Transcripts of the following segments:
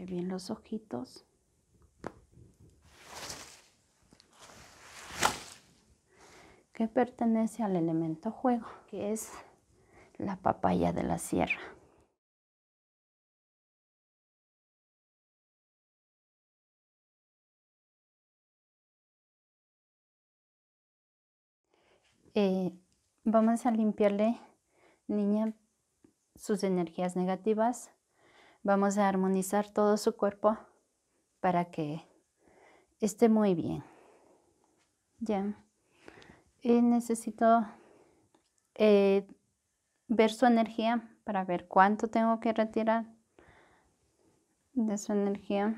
bien los ojitos. Que pertenece al elemento juego, que es la papaya de la sierra. Eh, vamos a limpiarle, niña, sus energías negativas. Vamos a armonizar todo su cuerpo para que esté muy bien. Ya. Eh, necesito eh, ver su energía para ver cuánto tengo que retirar de su energía.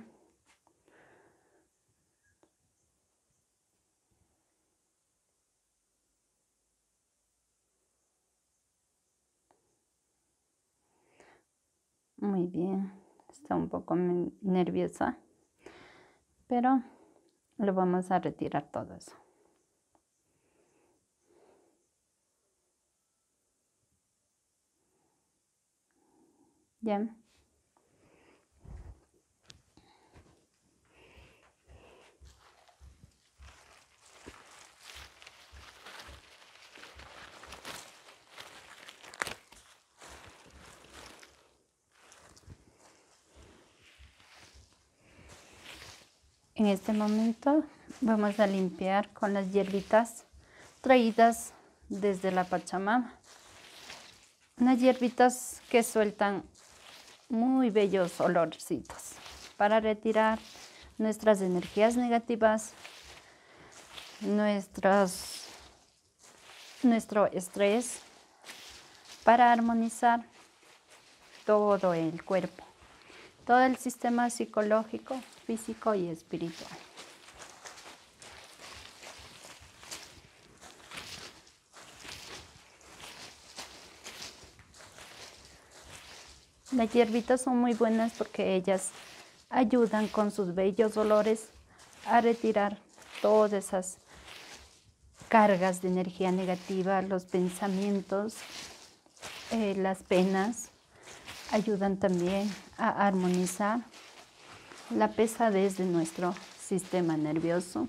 Muy bien, está un poco nerviosa, pero lo vamos a retirar todo eso. ¿Ya? En este momento vamos a limpiar con las hierbitas traídas desde la Pachamama. Unas hierbitas que sueltan muy bellos olorcitos para retirar nuestras energías negativas, nuestras, nuestro estrés, para armonizar todo el cuerpo, todo el sistema psicológico, físico y espiritual. Las hierbitas son muy buenas porque ellas ayudan con sus bellos dolores a retirar todas esas cargas de energía negativa, los pensamientos, eh, las penas, ayudan también a armonizar la pesadez de nuestro sistema nervioso.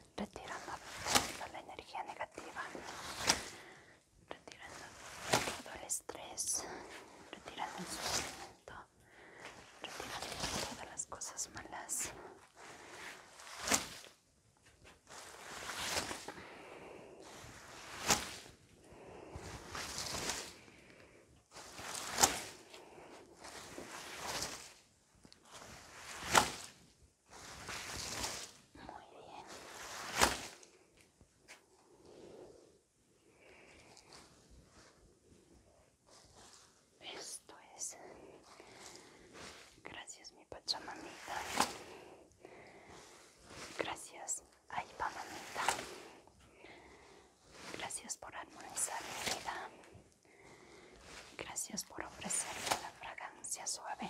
retirando toda la energía negativa, retirando todo el estrés, retirando el sufrimiento, retirando todas las cosas malas. Muy bien. Esto es. Gracias, mi pachamamita. Gracias, ay, mamita. Gracias por armonizar mi vida. Gracias por ofrecerme la fragancia suave.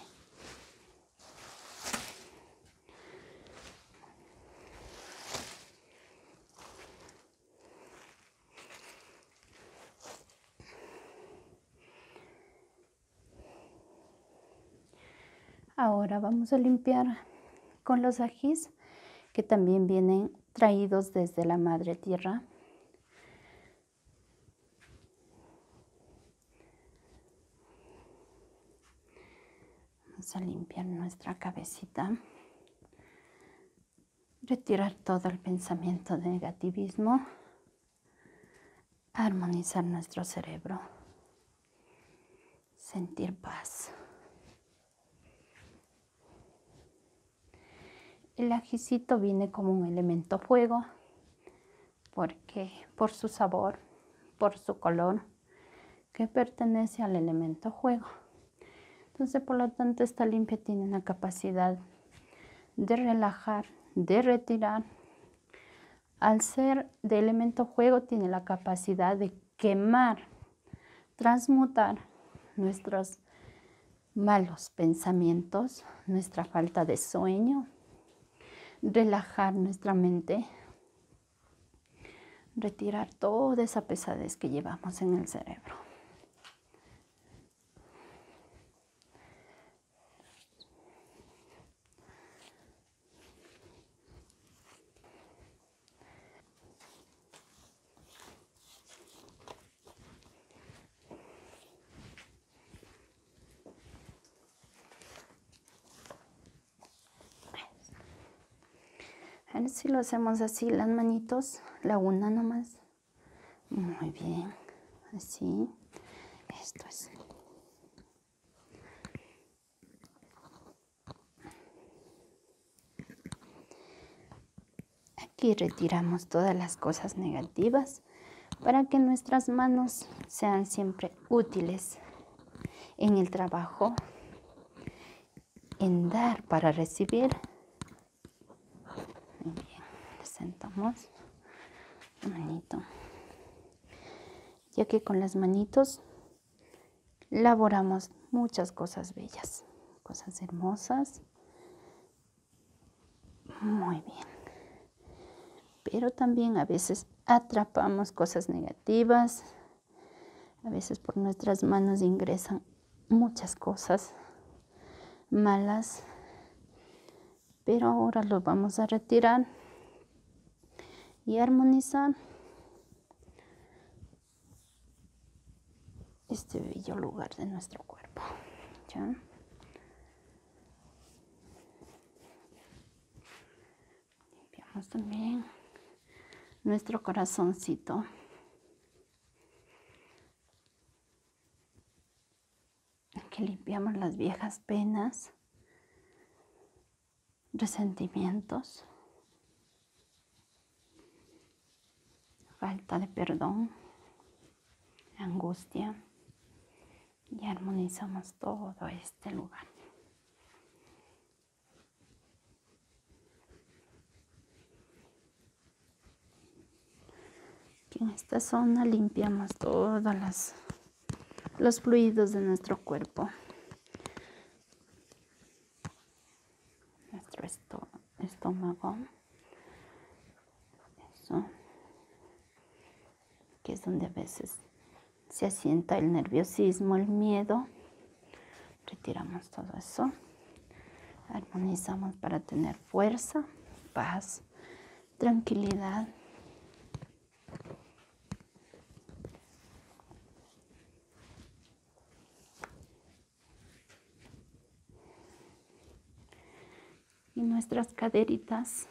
Ahora vamos a limpiar con los ajís que también vienen traídos desde la madre tierra. Vamos a limpiar nuestra cabecita. Retirar todo el pensamiento de negativismo. Armonizar nuestro cerebro. Sentir paz. El ajicito viene como un elemento fuego porque por su sabor, por su color, que pertenece al elemento fuego. Entonces, por lo tanto, esta limpia tiene la capacidad de relajar, de retirar. Al ser de elemento fuego, tiene la capacidad de quemar, transmutar nuestros malos pensamientos, nuestra falta de sueño, relajar nuestra mente, retirar toda esa pesadez que llevamos en el cerebro. A ver si lo hacemos así, las manitos, la una nomás. Muy bien, así. Esto es. Aquí retiramos todas las cosas negativas para que nuestras manos sean siempre útiles en el trabajo, en dar para recibir. manito. Ya que con las manitos laboramos muchas cosas bellas, cosas hermosas muy bien. Pero también a veces atrapamos cosas negativas. A veces por nuestras manos ingresan muchas cosas malas. Pero ahora lo vamos a retirar y armonizar este bello lugar de nuestro cuerpo. Limpiamos también nuestro corazoncito. que limpiamos las viejas penas, resentimientos, falta de perdón angustia y armonizamos todo este lugar. en esta zona limpiamos todos los fluidos de nuestro cuerpo. Nuestro estómago. Eso. Que es donde a veces se asienta el nerviosismo, el miedo. Retiramos todo eso. Armonizamos para tener fuerza, paz, tranquilidad y nuestras caderitas.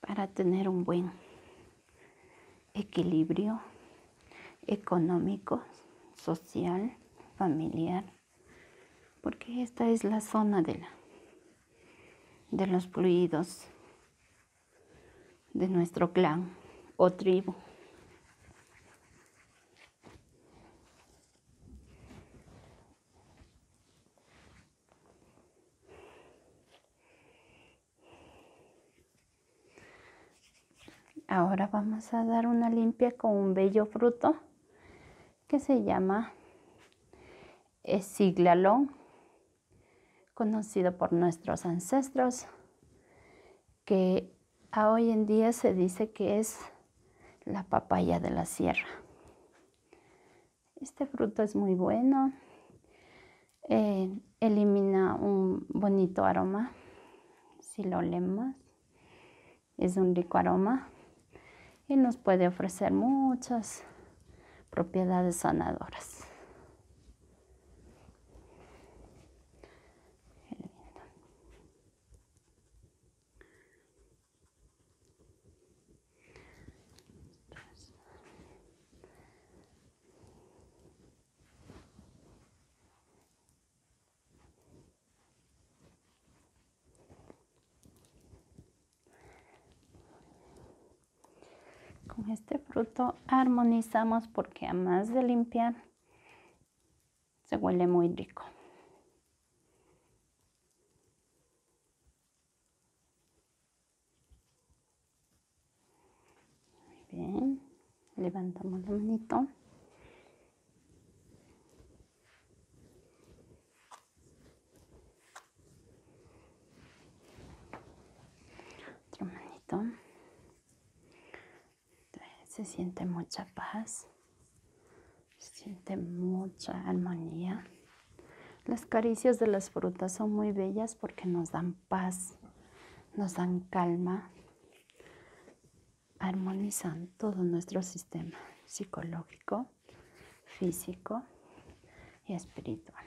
Para tener un buen equilibrio económico, social, familiar, porque esta es la zona de, la, de los fluidos de nuestro clan o tribu. Ahora vamos a dar una limpia con un bello fruto que se llama ciglalón, eh, conocido por nuestros ancestros que hoy en día se dice que es la papaya de la sierra. Este fruto es muy bueno, eh, elimina un bonito aroma, si lo leemos, es un rico aroma y nos puede ofrecer muchas propiedades sanadoras con este fruto armonizamos porque además de limpiar se huele muy rico. Muy bien. Levantamos la mano Otra mano se siente mucha paz, se siente mucha armonía. Las caricias de las frutas son muy bellas porque nos dan paz, nos dan calma, armonizan todo nuestro sistema psicológico, físico y espiritual.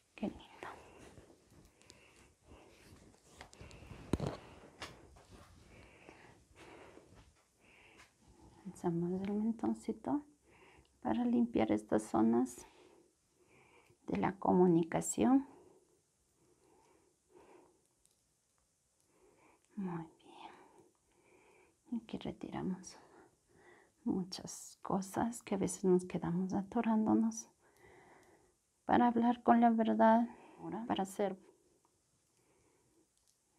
Qué lindo. Lanzamos el mentoncito para limpiar estas zonas de la comunicación. Muy bien. Aquí retiramos muchas cosas que a veces nos quedamos atorándonos para hablar con la verdad, para ser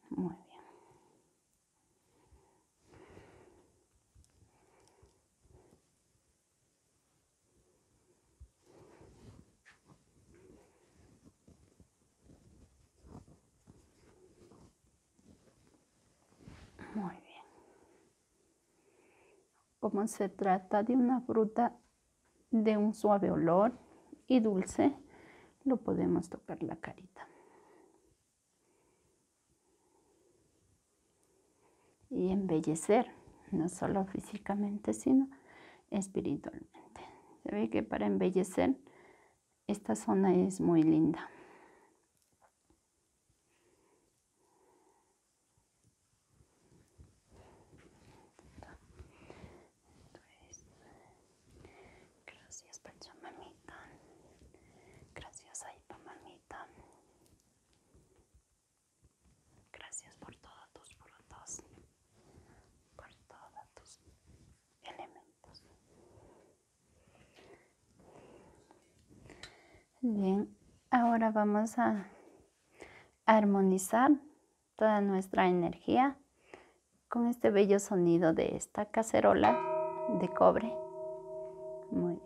muy bien. Muy bien. Como se trata de una fruta de un suave olor y dulce, lo podemos tocar la carita. Y embellecer, no solo físicamente, sino espiritualmente. Se ve que para embellecer esta zona es muy linda gracias Pachamamita, gracias Aipamamita, Mamita, gracias por todos tus frutos, por todos tus elementos. Bien, ahora vamos a armonizar toda nuestra energía con este bello sonido de esta cacerola de cobre. Muy bien.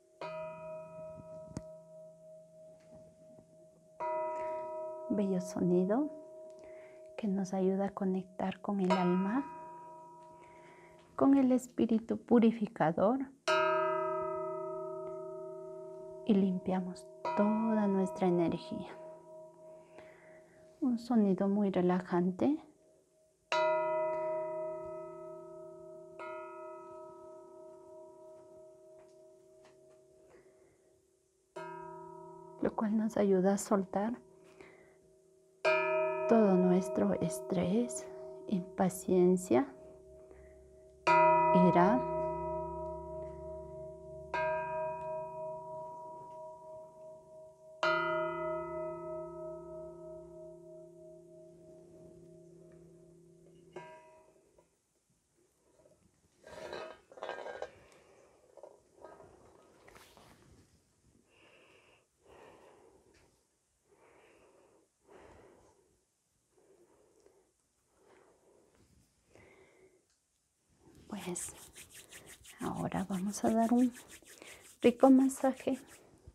Bello sonido que nos ayuda a conectar con el alma, con el espíritu purificador y limpiamos toda nuestra energía. Un sonido muy relajante lo cual nos ayuda a soltar todo nuestro estrés, impaciencia, ira. Pues ahora vamos a dar un rico masaje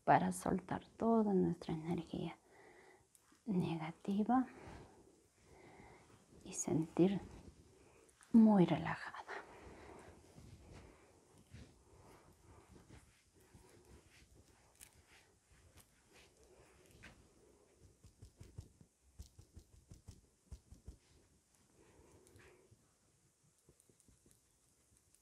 para soltar toda nuestra energía negativa y sentir muy relajada.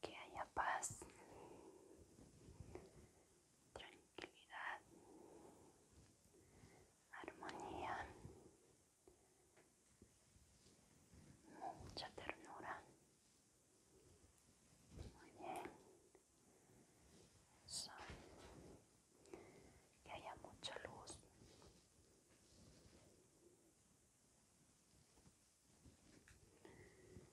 que haya paz, tranquilidad, armonía, mucha ternura. bien. Que haya mucha luz. Muy bien.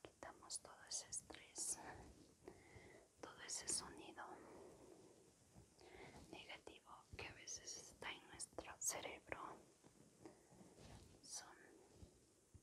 Quitamos todo ese estrés, todo ese sonido negativo que a veces está en nuestro cerebro. Son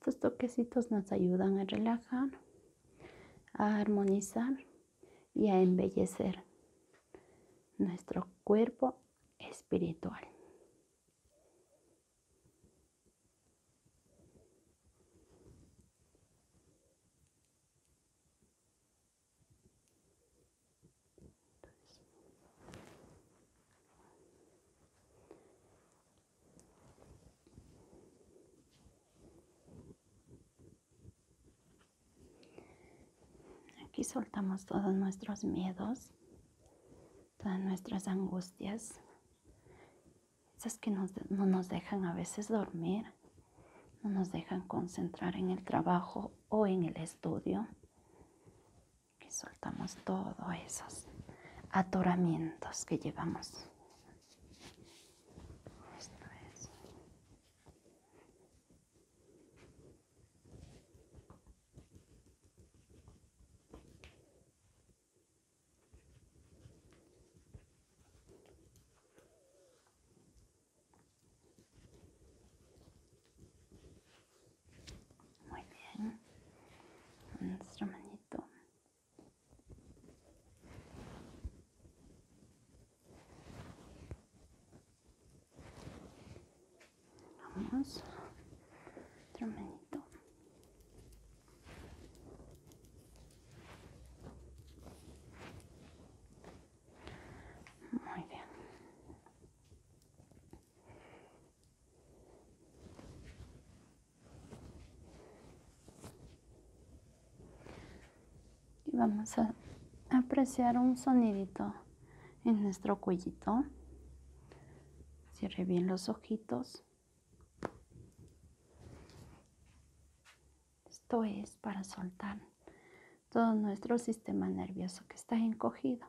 Estos toquecitos nos ayudan a relajar, a armonizar y a embellecer nuestro cuerpo espiritual. Aquí soltamos todos nuestros miedos, todas nuestras angustias, esas que no nos dejan a veces dormir, no nos dejan concentrar en el trabajo o en el estudio. Y soltamos todos esos atoramientos que llevamos. Muy bien. Nuestra manito. Vamos. Otro Muy bien. Y vamos a apreciar un sonidito en nuestro cuellito. Cierre bien los ojitos. Esto es para soltar todo nuestro sistema nervioso que está encogido.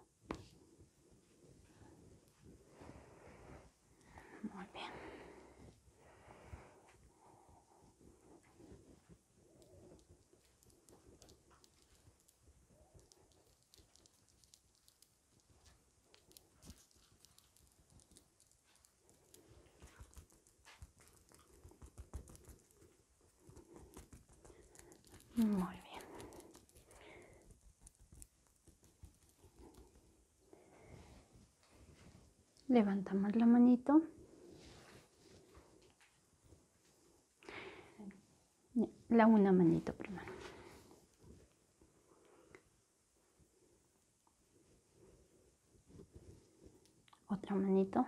Muy bien. Muy bien. Levantamos la manito la una manito primero. Otra manito.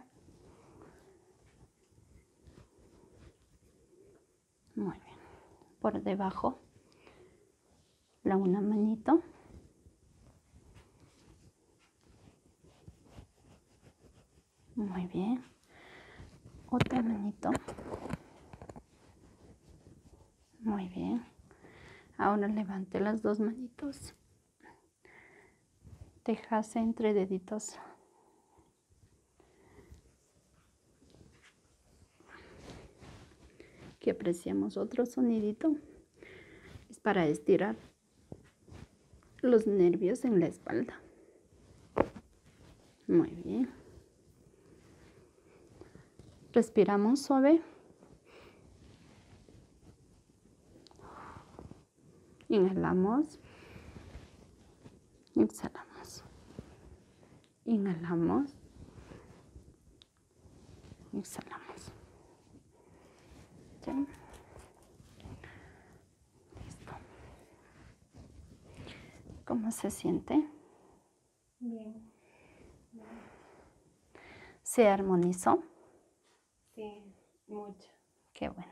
Muy bien. Por debajo. La una manito. Muy bien. Otra manito. Muy bien. Ahora levante las dos manitos. Tejase entre deditos. Que apreciamos otro sonidito. Es para estirar los nervios en la espalda. Muy bien. Respiramos suave. Inhalamos. Exhalamos. Inhalamos. Exhalamos. Listo. ¿Cómo se siente? Bien. ¿Se armonizó? Sí, mucho. Qué bueno.